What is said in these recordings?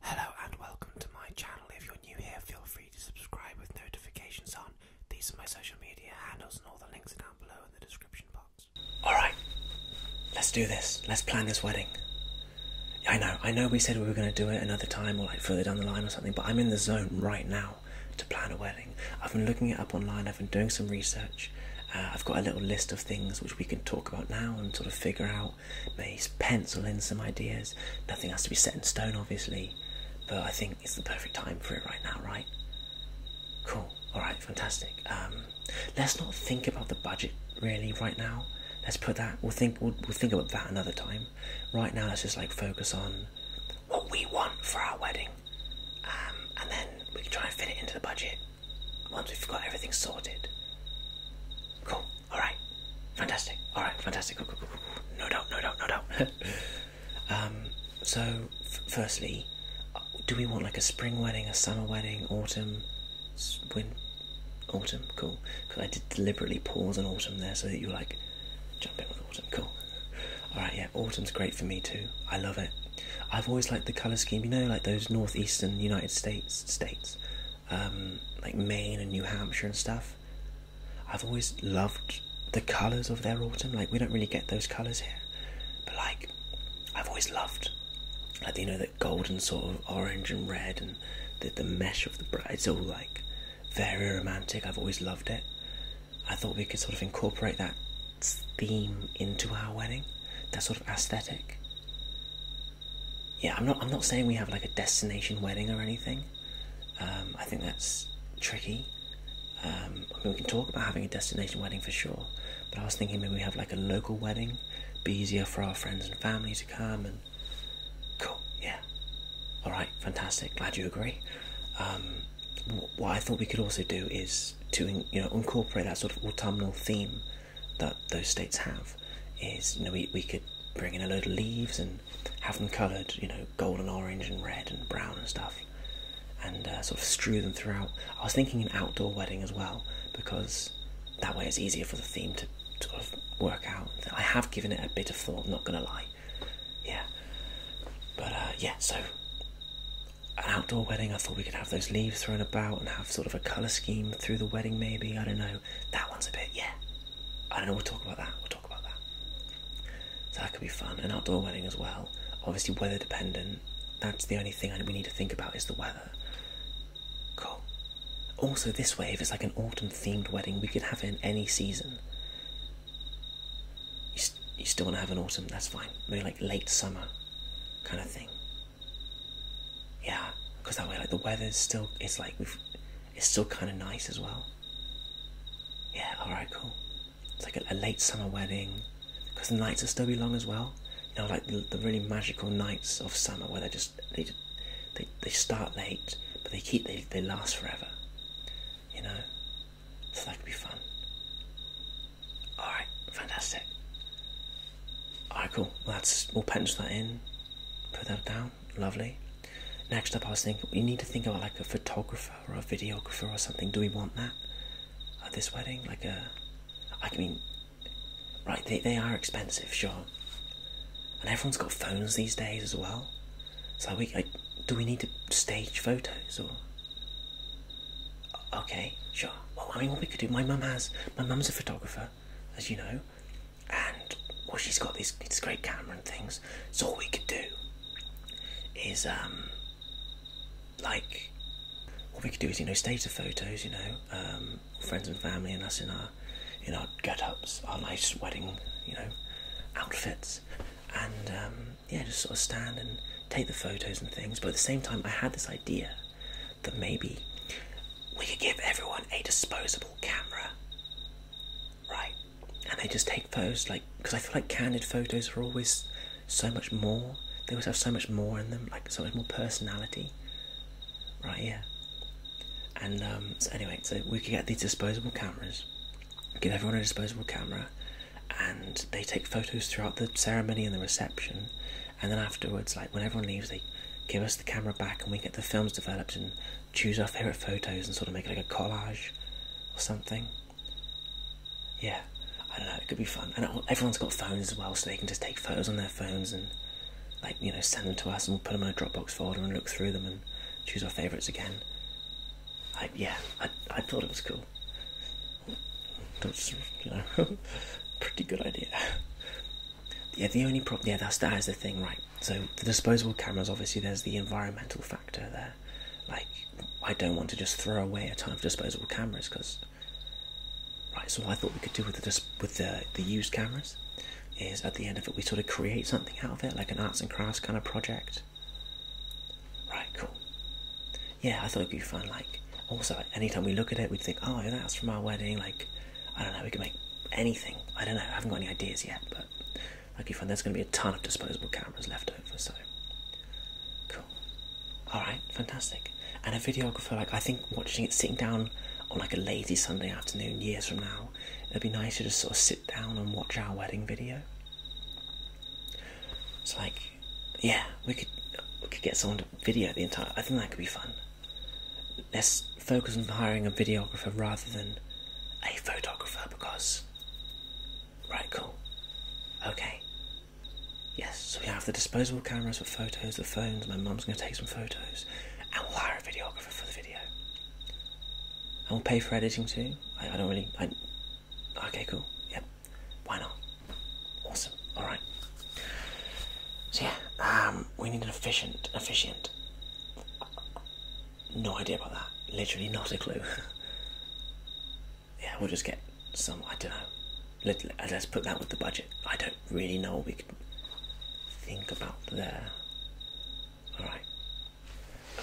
Hello and welcome to my channel. If you're new here, feel free to subscribe with notifications on. These are my social media handles, and all the links are down below in the description box. Alright, let's do this. Let's plan this wedding. I know, I know we said we were going to do it another time or like further down the line or something, but I'm in the zone right now to plan a wedding. I've been looking it up online, I've been doing some research. Uh, I've got a little list of things which we can talk about now and sort of figure out Maybe pencil in some ideas. Nothing has to be set in stone, obviously, but I think it's the perfect time for it right now, right? Cool. All right, fantastic. Um, let's not think about the budget really right now. Let's put that. We'll think. We'll, think about that another time. Right now, let's just like focus on what we want for our wedding, um, and then we can try and fit it into the budget once we've got everything sorted. Cool. All right, fantastic. All right, fantastic. No doubt, no doubt, no doubt. um, so, firstly, uh, do we want like a spring wedding, a summer wedding, autumn, win, autumn? Cool. Because I did deliberately pause on autumn there so that you were like, jump in with autumn. Cool. All right, yeah, autumn's great for me too. I love it. I've always liked the color scheme. You know, like those northeastern United States states um, like Maine and New Hampshire and stuff. I've always loved the colours of their autumn. Like we don't really get those colours here, but like I've always loved, like you know that golden sort of orange and red and the the mesh of the bright. It's all like very romantic. I've always loved it. I thought we could sort of incorporate that theme into our wedding, that sort of aesthetic yeah, I'm not. I'm not saying we have like a destination wedding or anything. Um, I think that's tricky. Um, we can talk about having a destination wedding for sure, but I was thinking maybe we have like a local wedding, be easier for our friends and family to come. And cool, yeah, all right, fantastic. Glad you agree. Um, what I thought we could also do is to you know incorporate that sort of autumnal theme that those states have is you know we, we could bring in a load of leaves and have them coloured you know gold and orange and red and brown and stuff and uh, sort of strew them throughout i was thinking an outdoor wedding as well because that way it's easier for the theme to sort of work out i have given it a bit of thought not gonna lie yeah but uh, yeah so an outdoor wedding i thought we could have those leaves thrown about and have sort of a colour scheme through the wedding maybe i don't know that one's a bit yeah I don't know, we'll talk about that. We'll talk about that. So that could be fun. An outdoor wedding as well. Obviously, weather dependent. That's the only thing we need to think about is the weather. Cool. Also, this way, if it's like an autumn themed wedding, we could have it in any season. You, still want to have an autumn, that's fine. Maybe like late summer kind of thing. Yeah, because that way, like, the weather's still, it's like we've it's still kind of nice as well. Yeah, alright, cool. It's like a, late summer wedding because the nights are still be long as well. You know, like the, really magical nights of summer where they just they they they start late but they keep they they last forever. You know, so that could be fun. All right, fantastic. All right, cool. Well, that's we'll pinch that in, put that down. Lovely. Next up, I was thinking we need to think about like a photographer or a videographer or something. Do we want that at this wedding? Like a, uh, I mean, right? They they are expensive, sure. And everyone's got phones these days as well. So we like, do we need to stage photos or? Okay, sure. Well, I mean, what we could do. My mum has. My mum's a photographer, as you know and well, she's got this, this great camera and things. So all we could do is um, like all we could do is you know stage the photos, you know, um, friends and family and us in our in our get-ups, our nice wedding, you know, outfits, and um, yeah, just sort of stand and take the photos and things. But at the same time, I had this idea that maybe we could give everyone a disposable camera, right? And they just take photos, like, because I feel like candid photos are always so much more. They always have so much more in them, like so much more personality, right? Yeah. And um, so anyway, so we could get these disposable cameras, give everyone a disposable camera, and they take photos throughout the ceremony and the reception, and then afterwards, like when everyone leaves, they give us the camera back, and we get the films developed and choose our favourite photos and sort of make like a collage or something. Yeah, I don't know, it could be fun. And everyone's got phones as well, so they can just take photos on their phones and, like, you know, send them to us and we'll put them in a Dropbox folder and look through them and choose our favourites again. yeah, I, I thought it was cool. That's, you pretty good idea. Yeah, the only problem, yeah, that's, that is the thing, right? So the disposable cameras, obviously, there's the environmental factor there. Like, I don't want to just throw away a ton of disposable cameras because, right. So I thought we could do with the with the the used cameras is at the end of it we sort of create something out of it, like an arts and crafts kind of project. Right, cool. Yeah, I thought it'd be fun. Like, also, anytime we look at it, we'd think, oh, yeah, that's from our wedding. Like, I don't know, we could make anything. I don't know, I haven't got any ideas yet, but that'd be There's going to be a ton of disposable cameras left over, so cool. Alright, fantastic. And a videographer, like, I think watching it sitting down on like a lazy Sunday afternoon years from now, it'd be nice to just sort of sit down and watch our wedding video. It's like, yeah, we could we could get someone to video the entire. I think that could be fun let's focus on hiring a videographer rather than a photographer because. Right, cool. Okay. Yes, so we have the disposable cameras for photos, the phones, my mum's going to take some photos, and we'll hire a videographer for the video. And we'll pay for editing too. I, don't really. I, okay, cool. Yep. Why not? Awesome. Alright. So yeah, um, we need an efficient, efficient no idea about that. Literally not a clue. yeah, we'll just get some. I don't know. Let, let's put that with the budget. I don't really know what we can think about there. Alright.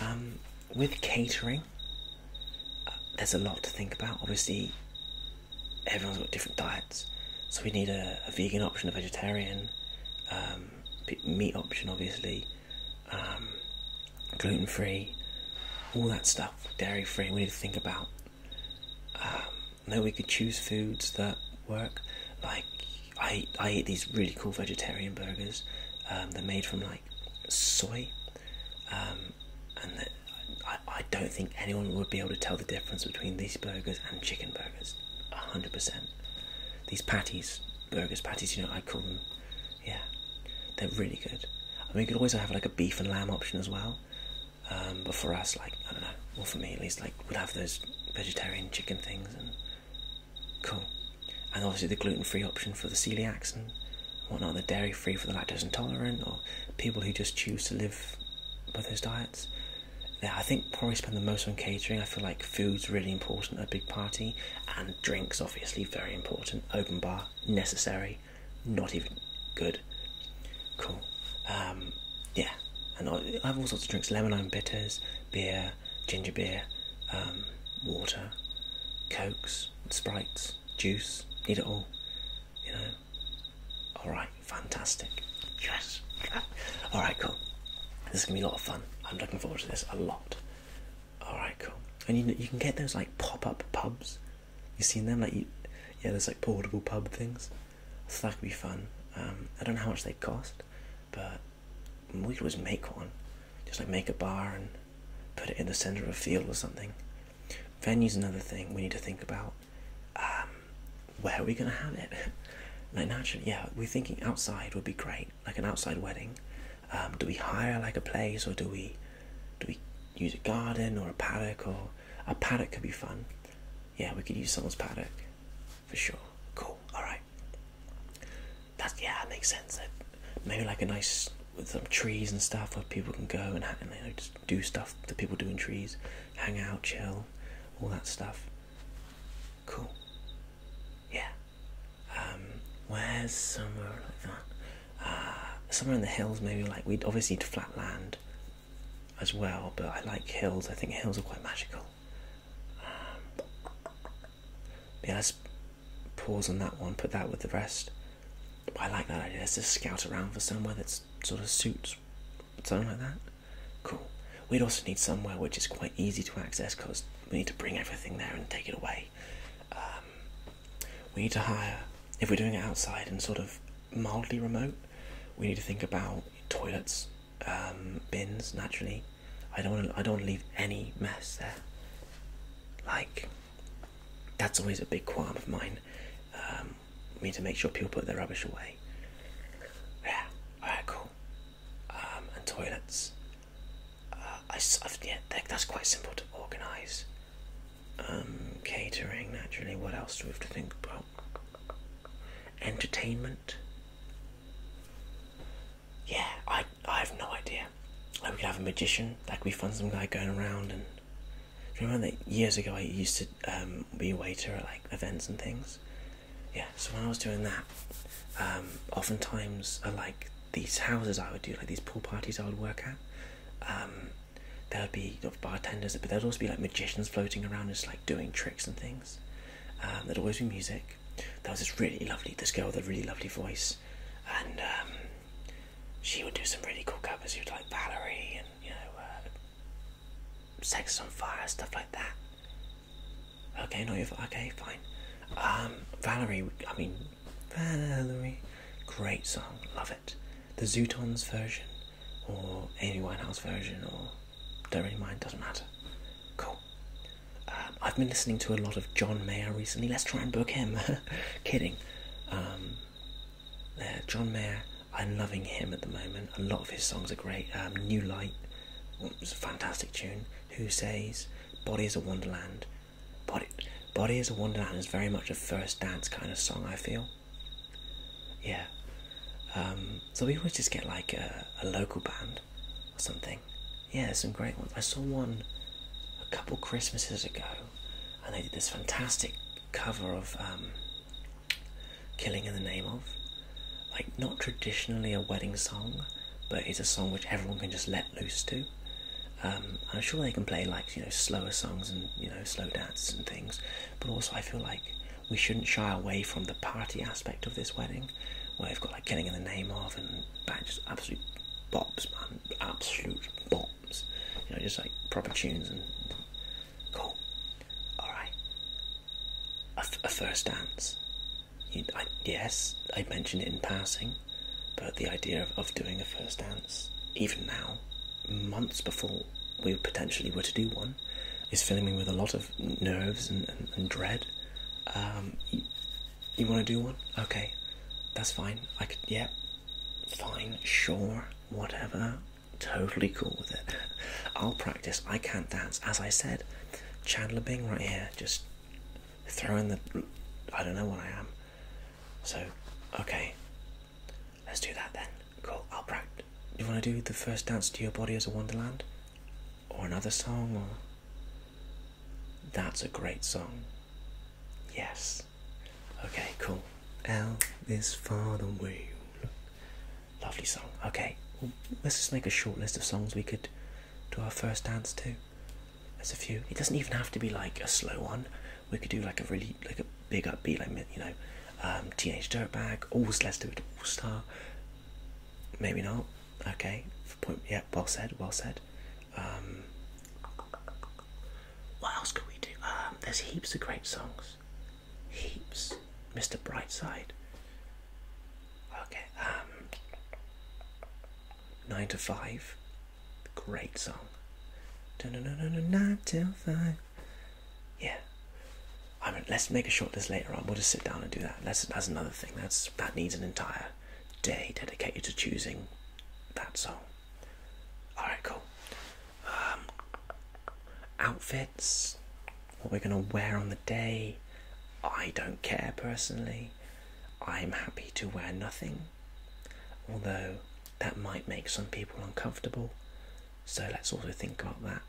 Um, with catering, uh, there's a lot to think about. Obviously, everyone's got different diets, so we need a, vegan option, a vegetarian. Um, meat option, obviously, um, gluten free, all that stuff, dairy free. We need to think about. Um, no, we could choose foods that work. Like I, I eat these really cool vegetarian burgers. Um, they're made from like soy, um, and I, I don't think anyone would be able to tell the difference between these burgers and chicken burgers burgers, hundred percent. These patties, burgers patties, you know I call them. Yeah, they're really good. I mean, you could always have like a beef and lamb option as well. Um, but for us, like I don't know, well for me at least, like we'd have those vegetarian chicken things and cool. And obviously the gluten-free option for the celiacs and whatnot, the dairy-free for the lactose intolerant, or people who just choose to live by those diets. Yeah, I think probably spend the most on catering. I feel like food's really important at a big party, and drinks obviously very important. Open bar necessary, not even good. Cool. Um, yeah, and I, have all sorts of drinks: lemonade, bitters, beer, ginger beer, um, water, cokes, sprites, juice. Need it all, you know. All right, fantastic. Yes. all right, cool. This is gonna be a lot of fun. I'm looking forward to this a lot. Alright, cool. And you, you can get those like pop up pubs. You seen them? Like, yeah, there's like portable pub things. So that could be fun. Um, I don't know how much they cost, but we could always make one. Just like make a bar and put it in the center of a field or something. Venue's another thing we need to think about. Um, where are we gonna have it? Like naturally, yeah, we're thinking outside would be great, like an outside wedding. Um, do we hire like a place, or do we do we use a garden or a paddock? Or a paddock could be fun. Yeah, we could use someone's paddock for sure. Cool. All right. That's yeah, that makes sense. Maybe like a nice with some trees and stuff where people can go and, and you know, just do stuff The people do in trees, hang out, chill, all that stuff. Cool. Yeah. Um, where's somewhere like that? Uh, somewhere in the hills, maybe. Like we'd obviously need flat land as well, but I like hills. I think hills are quite magical. Um, yeah, let's pause on that one. Put that with the rest. I like that idea. Let's just scout around for somewhere that sort of suits something like that. Cool. We'd also need somewhere which is quite easy to access because we need to bring everything there and take it away. Um, we need to hire, if we're doing it outside and sort of mildly remote, we need to think about toilets, um, bins, naturally. I don't wanna, I don't leave any mess there. Like, that's always a big qualm of mine. Um, we need to make sure people put their rubbish away. Yeah, alright, cool. Um, and toilets. Uh, I, yeah, that's quite simple to organise. Um, catering, naturally. What else do we have to think about? Entertainment. Yeah, I I have no idea. Like we could have a magician. Like we find some guy going around and. Remember that years ago I used to um, be a waiter at like events and things, yeah, so when I was doing that, um, oftentimes uh, like these houses I would do, like these pool parties I would work at. Um, there would be you bartenders, but there'd also be like magicians floating around, just like doing tricks and things. Um, there'd always be music. There was this really lovely, this girl with a really lovely voice, and she would do some really cool covers. She would like Valerie and you know, uh, Sex on Fire stuff like that. Okay, no, you okay, fine. Um, Valerie, I mean, Valerie, great song, love it. The Zootons version, or Amy Winehouse version, or don't really mind, doesn't matter. Cool. Um, I've been listening to a lot of John Mayer recently. Let's try and book him. Kidding. Um, John Mayer, I'm loving him at the moment. A lot of his songs are great. New Light, it was a fantastic tune. Who says "Body is a Wonderland"? Body, "Body is a Wonderland" is very much a first dance kind of song. I feel. Yeah. Um, so we always just get like a, local band or something. Yeah, some great ones. I saw one a couple Christmases ago, and they did this fantastic cover of um, killing in the name of. Like, not traditionally a wedding song, but it's a song which everyone can just let loose to. Um, I'm sure they can play like you know slower songs and you know slow dances and things, but also I feel like we shouldn't shy away from the party aspect of this wedding, where we've got like killing in the name of and just absolute bops, man, absolute bops, you know, just like proper tunes and cool. All right, a, f- a first dance yes, I mentioned it in passing, but the idea of, of doing a first dance, even now, months before we potentially were to do one, is filling me with a lot of nerves and, and, dread. Um, you, want to do one? Okay, that's fine. I could, yeah, fine, sure, whatever. Totally cool with it. I'll practice. I can't dance. As I said, Chandler Bing right here, just throwing the. I don't know what I am. So, okay. Let's do that then. Cool. I'll You want to do the first dance to your body as a wonderland? Or another song? Or. That's a great song. Yes. Okay, cool. L is for the wheel. Lovely song. Okay, let's just make a short list of songs we could do our first dance to. There's a few. It doesn't even have to be like a slow one. We could do like a really like a big upbeat, like you know, um, Teenage Dirtbag. Always let's do it. All Star. Maybe not. Okay. Point. Yeah. Well said. Well said. Um, what else could we do? Um, there's heaps of great songs. Heaps. Mr. Brightside. Okay, um, Nine to Five, great song. No, no, no, no, no, nine to five. Yeah, I mean, let's make a short list later on. We'll just sit down and do that. That's that's another thing. That's that needs an entire day dedicated to choosing that song. All right, cool. Um, outfits what we're going to wear on the day. I don't care personally. I'm happy to wear nothing, although that might make some people uncomfortable. So let's also think about that.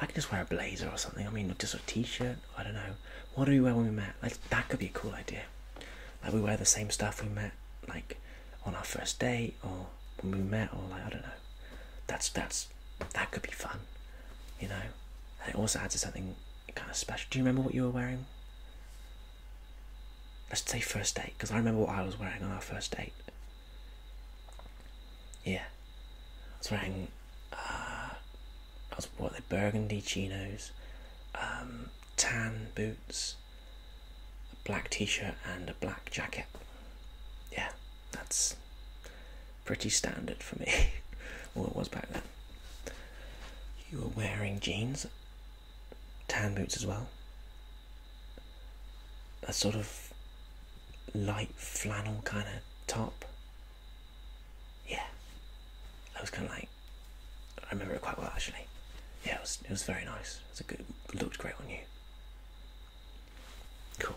I can just wear a blazer or something. I mean, just a t-shirt. I don't know. What do we wear when we met? Like that could be a cool idea. Like we wear the same stuff we met, like on our first date or when we met, or like I don't know. That's that's that could be fun, you know. And it also adds to something kind of special. Do you remember what you were wearing? Let's say first date, because I remember what I was wearing on our first date. Yeah, I was wearing, uh, I was what the burgundy chinos, um, tan boots, a black t-shirt, and a black jacket. Yeah, that's pretty standard for me. well, it was back then. You were wearing jeans, tan boots as well, a sort of light flannel kind of top. Yeah, I was kind of like, I remember it quite well actually. Yeah, it was, it was very nice. It a good, looked great on you. Cool.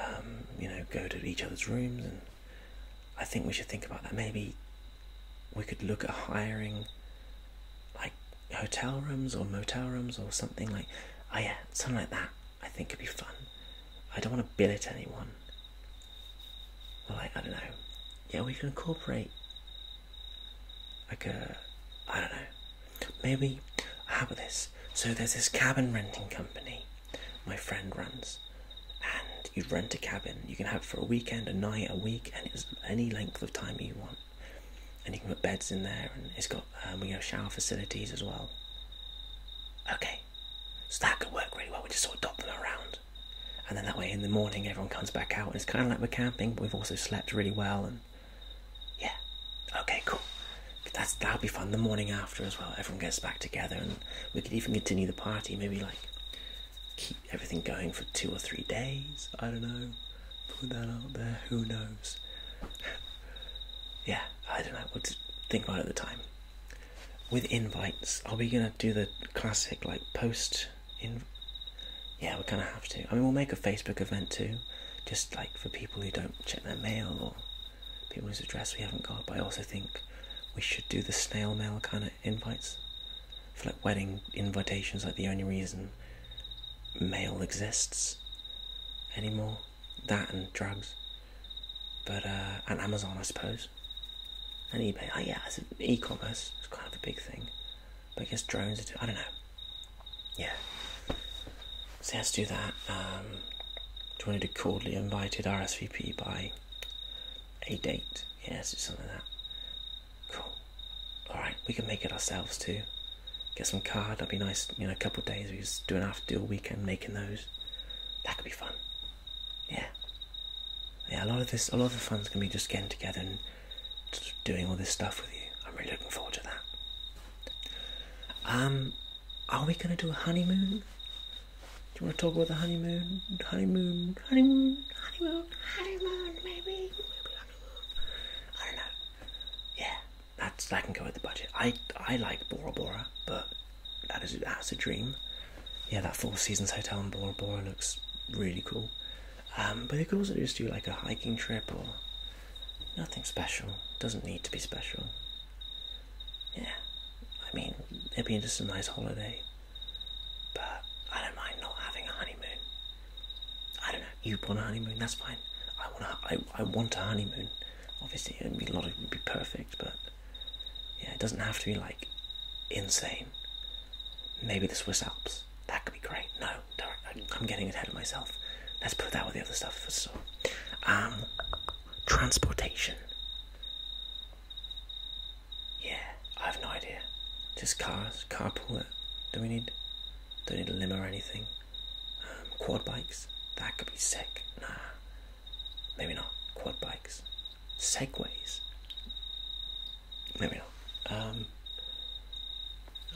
um, you know, go to each other's rooms, and I think we should think about that. Maybe we could look at hiring like hotel rooms or motel rooms or something like, oh yeah, something like that. I think could be fun. I don't want to billet anyone. Well, like I don't know. Yeah, we can incorporate like a, I don't know Maybe how about this? So there's this cabin renting company my friend runs, and you rent a cabin. You can have it for a weekend, a night, a week, and it's any length of time you want. And you can put beds in there, and it's got um, we have shower facilities as well. Okay, so that could work really well. We just sort of dot them around, and then that way in the morning everyone comes back out. And it's kind of like we're camping, but we've also slept really well, and yeah, okay, cool. That's that'll be fun. The morning after as well, everyone gets back together, and we could even continue the party. Maybe like keep everything going for two or three days. I don't know. Put that out there. Who knows? yeah, I don't know. We'll think about it at the time. With invites, are we gonna do the classic like post in? Yeah, we kind of have to. I mean, we'll make a Facebook event too just like for people who don't check their mail or people whose address we haven't got. But I also think we should do the snail mail kind of invites for like wedding invitations. Like the only reason mail exists anymore, that and drugs, but uh, and Amazon, I suppose, and eBay. Oh yeah, e-commerce is kind of a big thing, but I guess drones are. Too, I don't know. Yeah. So let's do that. Um, do we want to do cordially invited RSVP by a date? Yes, it's something like that. Cool. Alright, we can make it ourselves too. Get some card, that'd be nice, you know, a couple of days. We just do an after deal weekend making those. That could be fun. Yeah. Yeah, a lot of this a lot of the fun's gonna be just getting together and doing all this stuff with you. I'm really looking forward to that. Um are we going to do a honeymoon? Do you want to talk about the honeymoon? Honeymoon, honeymoon, honeymoon, honeymoon, maybe, maybe I don't know. Yeah, that's that can go with the budget. I I like Bora Bora, but that is that's a dream. Yeah, that Four Seasons hotel in Bora Bora looks really cool. Um, but they could also just do like a hiking trip or Nothing special. Doesn't need to be special. Yeah. I mean, it being just a nice holiday. But I don't mind not having a honeymoon. I don't know. You want a honeymoon? That's fine. I want a, I, I want a honeymoon. Obviously, a lot. Of, it'd be perfect, but yeah, it doesn't have to be like insane. Maybe the Swiss Alps. That could be great. No, I'm getting ahead of myself. Let's put that with the other stuff for so. Um, transportation. Yeah, I have no idea. Just cars, carpool uh, Do we need? Don't need a limo or anything. Um, quad bikes. That could be sick. Nah, maybe not. Quad bikes. Segways. Maybe not. Um,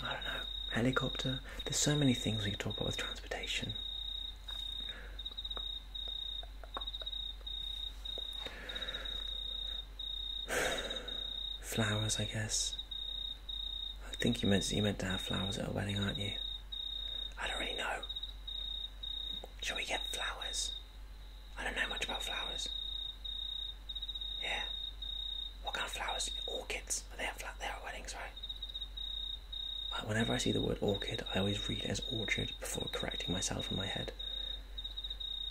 I don't know. Helicopter. There's so many things we could talk about with transport flowers, I guess. I think you meant you meant to have flowers at a wedding, aren't you? I don't really know. Shall we get flowers? I don't know much about flowers. Yeah. What kind of flowers? Orchids. Are they at flat? They're at weddings, right? Whenever I see the word orchid, I always read as orchard before correcting myself in my head.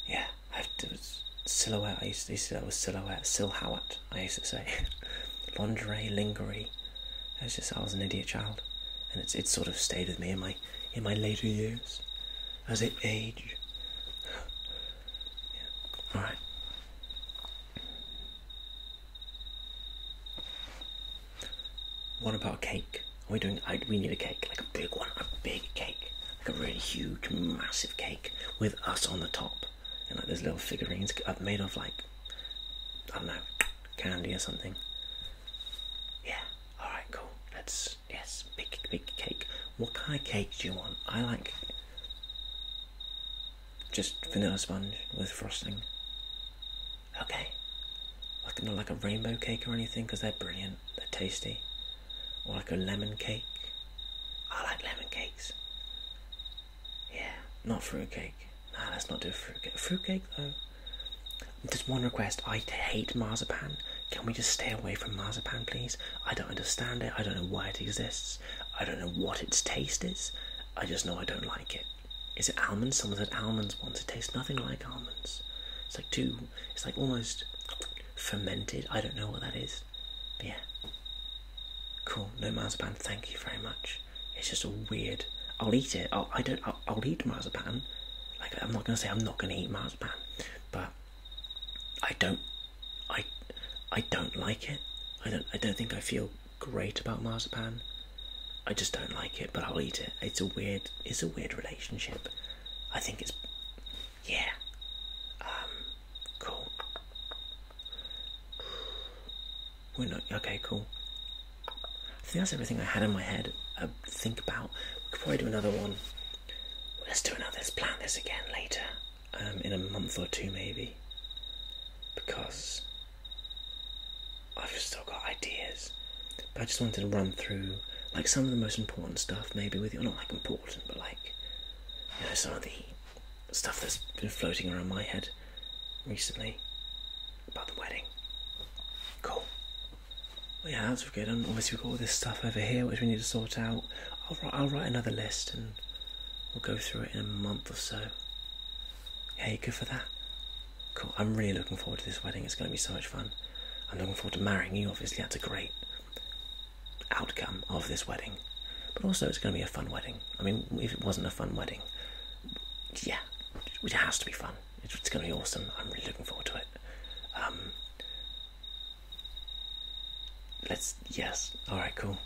Yeah, I've silhouette. I used to, say to was silhouette, silhouet. I used to say lingerie, lingerie. That's was just I was an idiot child, and it's sort of stayed with me in my in my later years as I age. yeah. All right. What about a cake? Are we doing? we need a cake, like a big one, a big cake, like a really huge, massive cake with us on the top, and like there's little figurines made of like I don't know candy or something. Yeah. All right. Cool. Let's yes, big big cake. What kind of cake do you want? I like just vanilla sponge with frosting. Okay. Like not like a rainbow cake or anything because they're brilliant, they're tasty. Or like a lemon cake. I like lemon cakes. Yeah, not fruit cake. Nah, let's not do fruit cake. Fruit cake though. There's one request. I hate marzipan. Can we just stay away from marzipan, please? I don't understand it. I don't know why it exists. I don't know what its taste is. I just know I don't like it. Is it almonds? Someone said almonds once. It tastes nothing like almonds. It's like too. It's like almost fermented. I don't know what that is. But yeah. Cool. No marzipan. Thank you very much. It's just a weird. I'll eat it. I'll, I do I'll, I'll eat marzipan. Like I'm not gonna say I'm not gonna eat marzipan, but I don't. I. I don't like it. I don't. I don't think I feel great about marzipan. I just don't like it, but I'll eat it. It's a weird, it's a weird relationship. I think it's, yeah, um, cool. We're not okay. Cool. I think that's everything I had in my head. Uh, think about. We could probably do another one. Let's do another. Let's plan this again later. Um, in a month or two maybe, because I've still got ideas, but I just wanted to run through like some of the most important stuff, maybe with you. Not like important, but like you know some of the stuff that's been floating around my head recently about the wedding. Cool. Well, yeah, that's good. And um, obviously we've got all this stuff over here which we need to sort out. I'll write another list and we'll go through it in a month or so. Hey, good for that? Cool. I'm really looking forward to this wedding. It's going to be so much fun. I'm looking forward to marrying you, obviously. That's a great outcome of this wedding. But also, it's going to be a fun wedding. I mean, if it wasn't a fun wedding, yeah, it has to be fun. It's going to be awesome. I'm really looking forward to it. Um, let's, yes. Alright, cool.